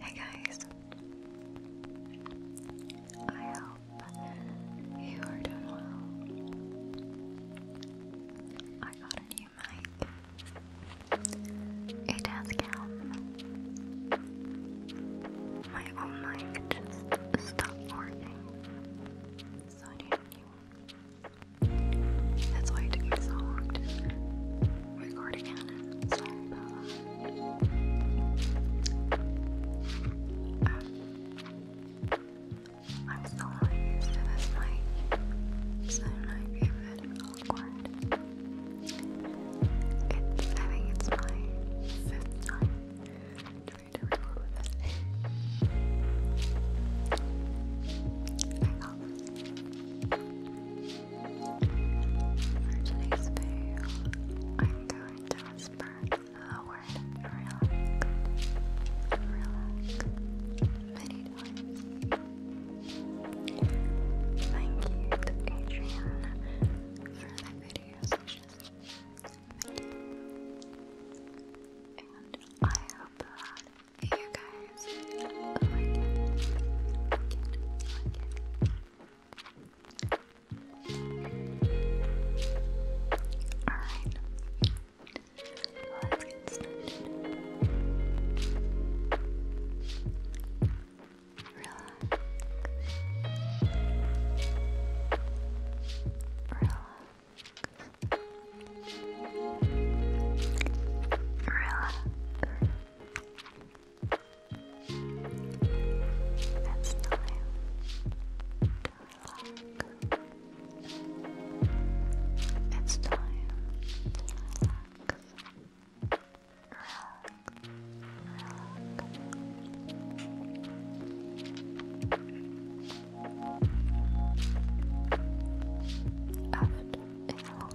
Hey guys, I hope you are doing well. I got a new mic. It has gone. My old mic just stopped working, so I need a that's why it took me um, so long to record again. I'm still not used to this mic, so it might I think it's my fifth time trying to record with this today's video, I'm going to whisper the word relax, relax many times. Thank you Adrian for the video suggestion. Thank you. And I hope that Hey you guys, Alright, let's get started. Relax. Relax. Relax. It's time to relax. It's time to relax. Relax. After a long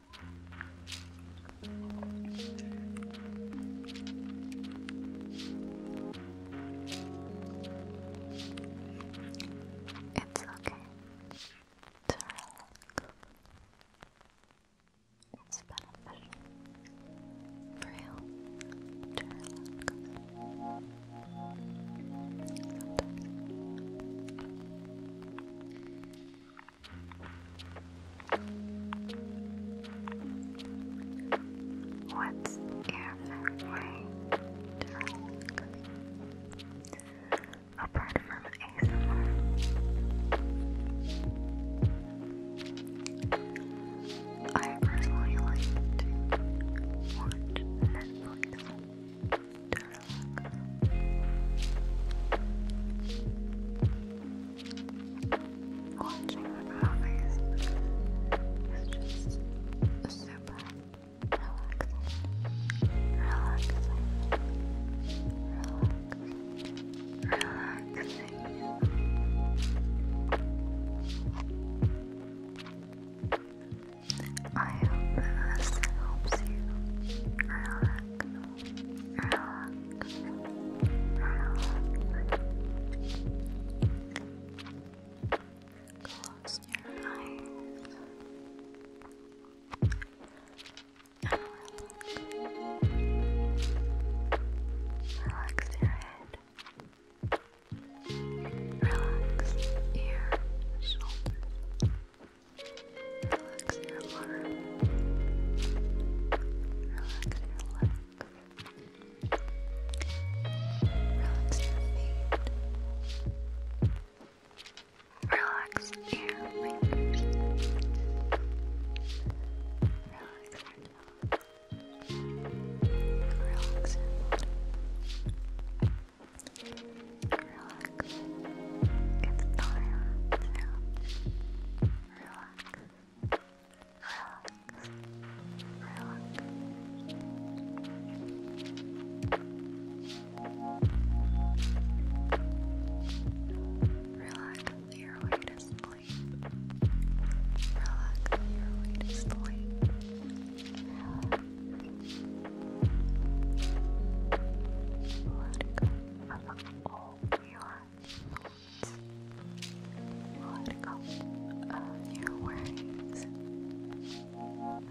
It's okay to relax. It's beneficial for you to relax. Sometimes. What's airfare way apart from ASMR? I personally like to watch Netflix. Watching movies is just super relaxing, relaxing, relaxing, relaxing. I hope this helps you relax, relax, relax. Close your eyes relax. Relax your head. Relax your shoulders. Relax your arm. Relax your leg. Relax your feet. Relax your fingers. Relax your tongue. Relax your head. Relax your Relax. It's time to relax. Relax. Relax. Relax your way to sleep. Relax your way to sleep. Let go of all your thoughts. Let go of your worries. Relax.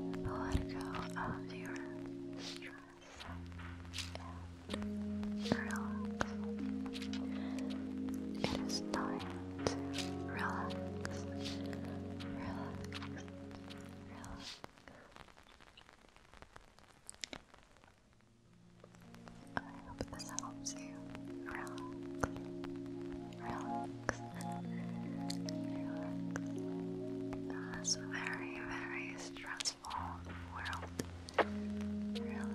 Let go of your stress relax. It is time to relax. Relax. Relax. I hope this helps you relax, relax, relax. This very, very stressful world. Relax.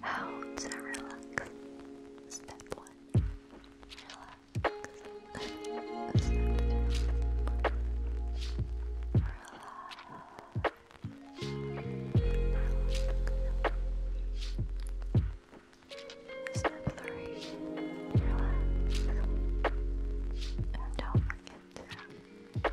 How to relax. Step one. Relax. Step two. Relax. Step three, relax, and don't forget to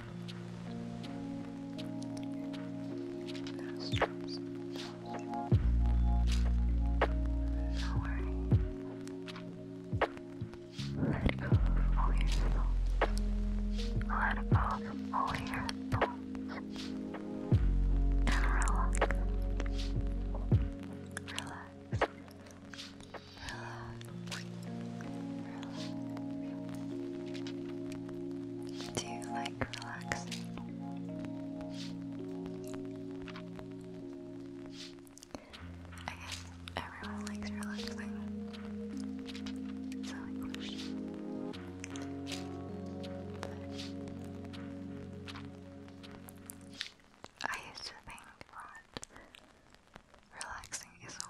nostrils, lowering, let go of all your thoughts, let go of all your thoughts, and relax, relax, relax. Relax. Do you like relaxing? I guess everyone likes relaxing. I used to think that relaxing is a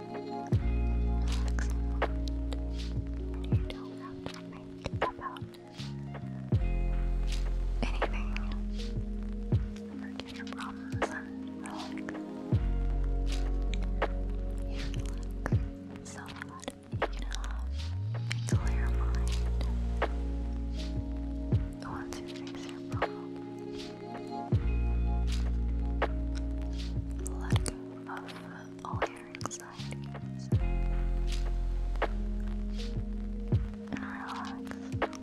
You anything. Forget your problems and relax. You look so that you can have clear mind. Once you fix your problem, let go of all your anxieties and relax. Relaxing time. Relaxing. It's okay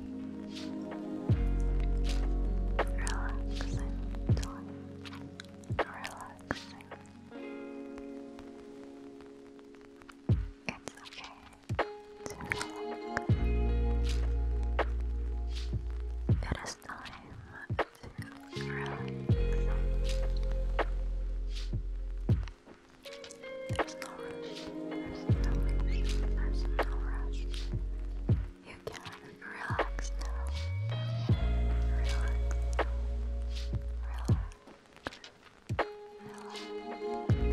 to relax. It is time there's no rush. There's no rush. There's no rush. You can relax now. Relax. Relax. Relax. Relax.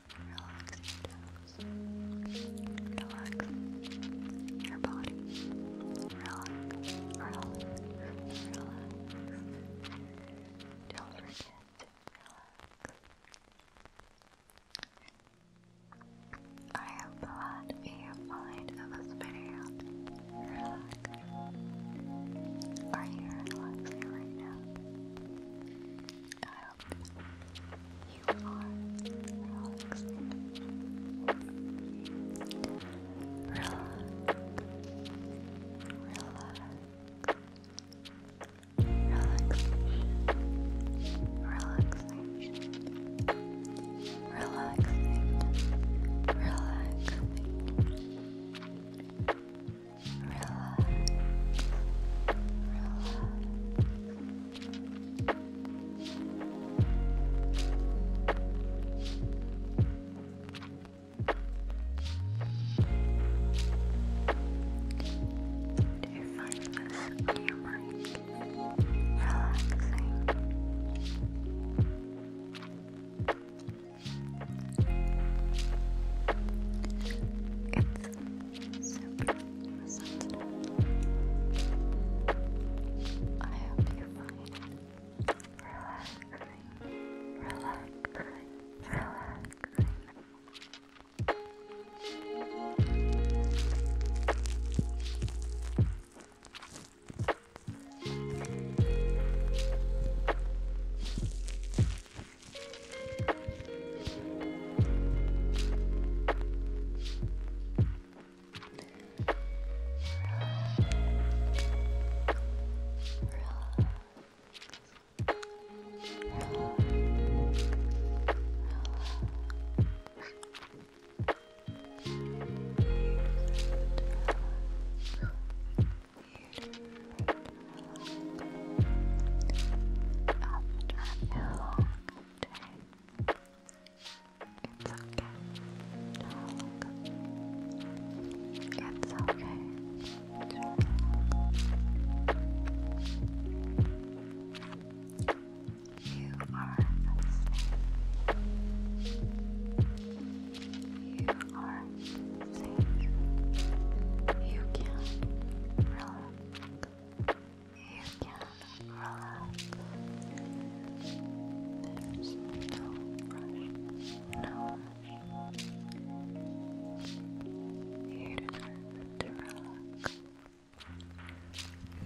Relax Relax your body. Relax, relax, relax. Don't forget relax. I am glad you find this video. Relax. Are you relaxing right now? yourself. You are relaxed. Relax. Relax. Relaxation. Relaxation. Relaxation. Relaxation. Relax. Relax. Relax. Do you find this humorous, relaxing? It's super sensitive. I hope you find relaxing, relaxing, relaxing. Thank you up and down, it's okay. It's okay. You are You are safe. You can relax you can relax. There's no rush, no You deserve to relax.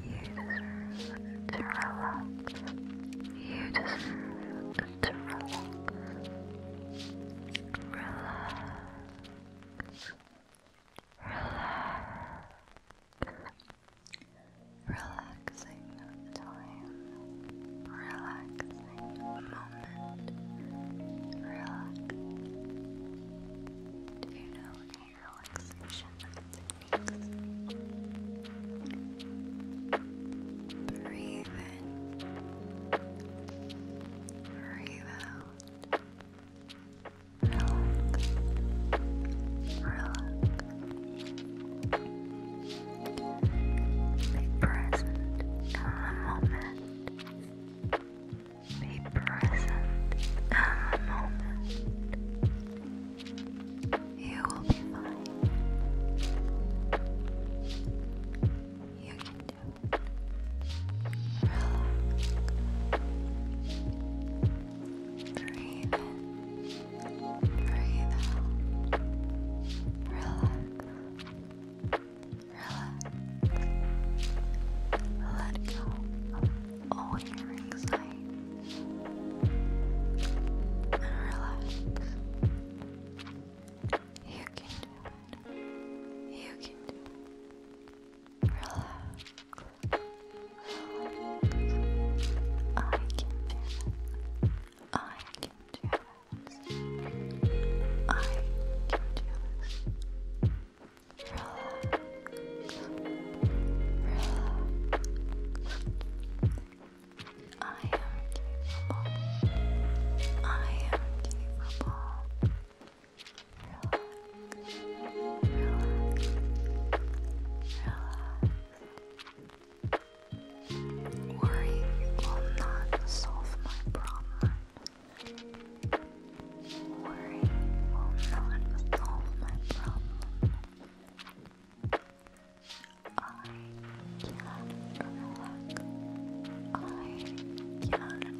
You deserve to relax. You deserve to relax. Relax. Relaxing time. Relaxing moment. Relax. Do you know any relaxation techniques? Breathe in. Breathe out relax, relax. Be present in the moment. Be present in the moment. You will be fine. You can do Breathe Breathe out. Relax. Relax. Let go of all your anxiety and relax. You can do it. You can do it relax. relax. I can do it. I can do it. I can do it. I am capable. I am capable. Worry will not solve my problem. Worry will not solve my problem. I can relax. I can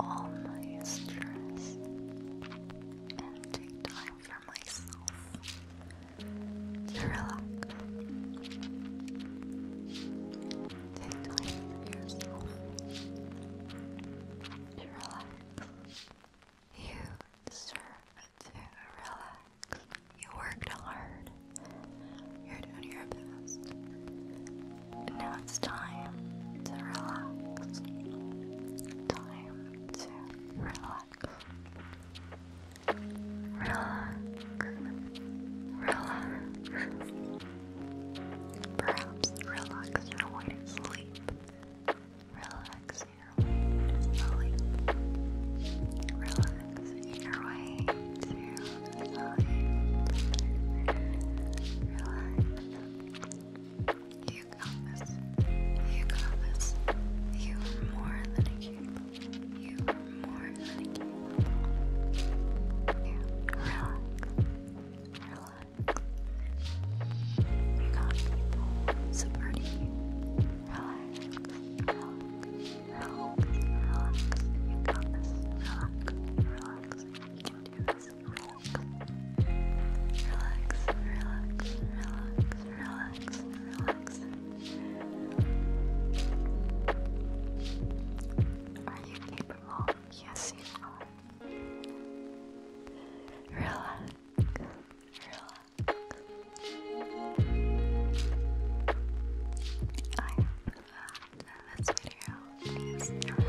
all my stress and take time for myself relax. Take time for yourself relax. You deserve to relax. You worked hard. You're doing your best now it's time to relax. Time to relax. Relax. Relax. Perhaps relax your way to sleep. Relax your way to sleep. your way to sleep. Relax. You got this. You got this. You are more than a cube. You are more than a cube. Relax. Relax. You got people supporting you. Relax. Relax. Relax. Relax. You got this. Relax. Relax. Relax, Are you capable? Yes, you are. Relax, relax this video is a relaxing video. Relax,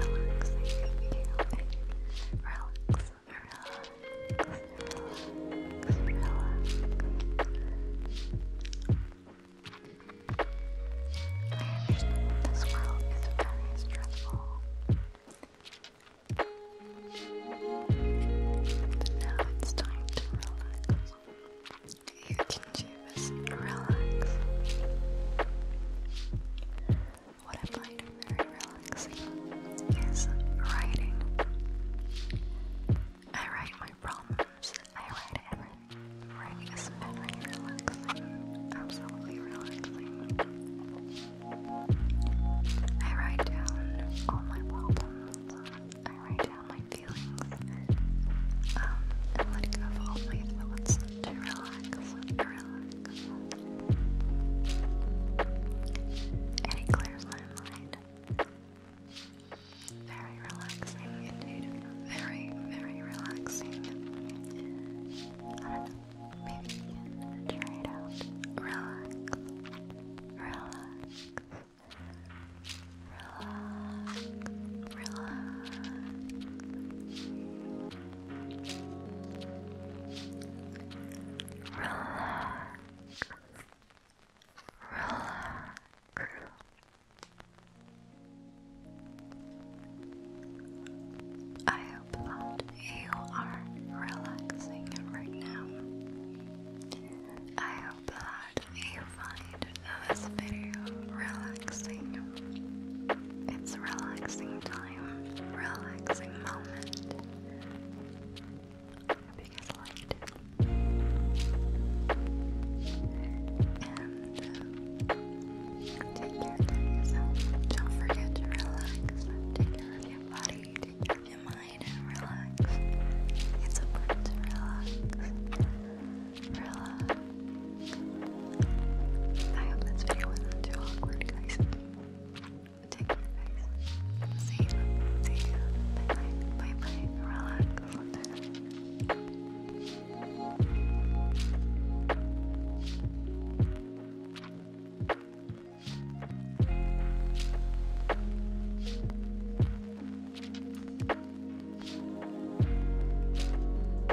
relax, relax, relax. I this world is very stressful. But now it's time to relax. You can choose relax. What I find very relaxing is writing. I write my problems, I write everything. Writing is very relaxing, absolutely relaxing. I write down all my problems, I write down my feelings, um, and let go of all my thoughts to relax, and it clears my mind. Very relaxing indeed. Very, very relaxing. Maybe you can try it out. Relax. Relax. Relax. Relax. Relax. Relax. I hope that you are relaxing right now. I hope that you find this video relaxing it's a relaxing time, relaxing moment. I hope you guys liked it. And uh, take care of yourself. Don't forget to relax. Take care of your body, take care of your mind, and relax. It's important to relax. Relax. I hope this video wasn't too awkward, guys. Take care, guys. See you. See you. Bye bye. Bye bye. Relax.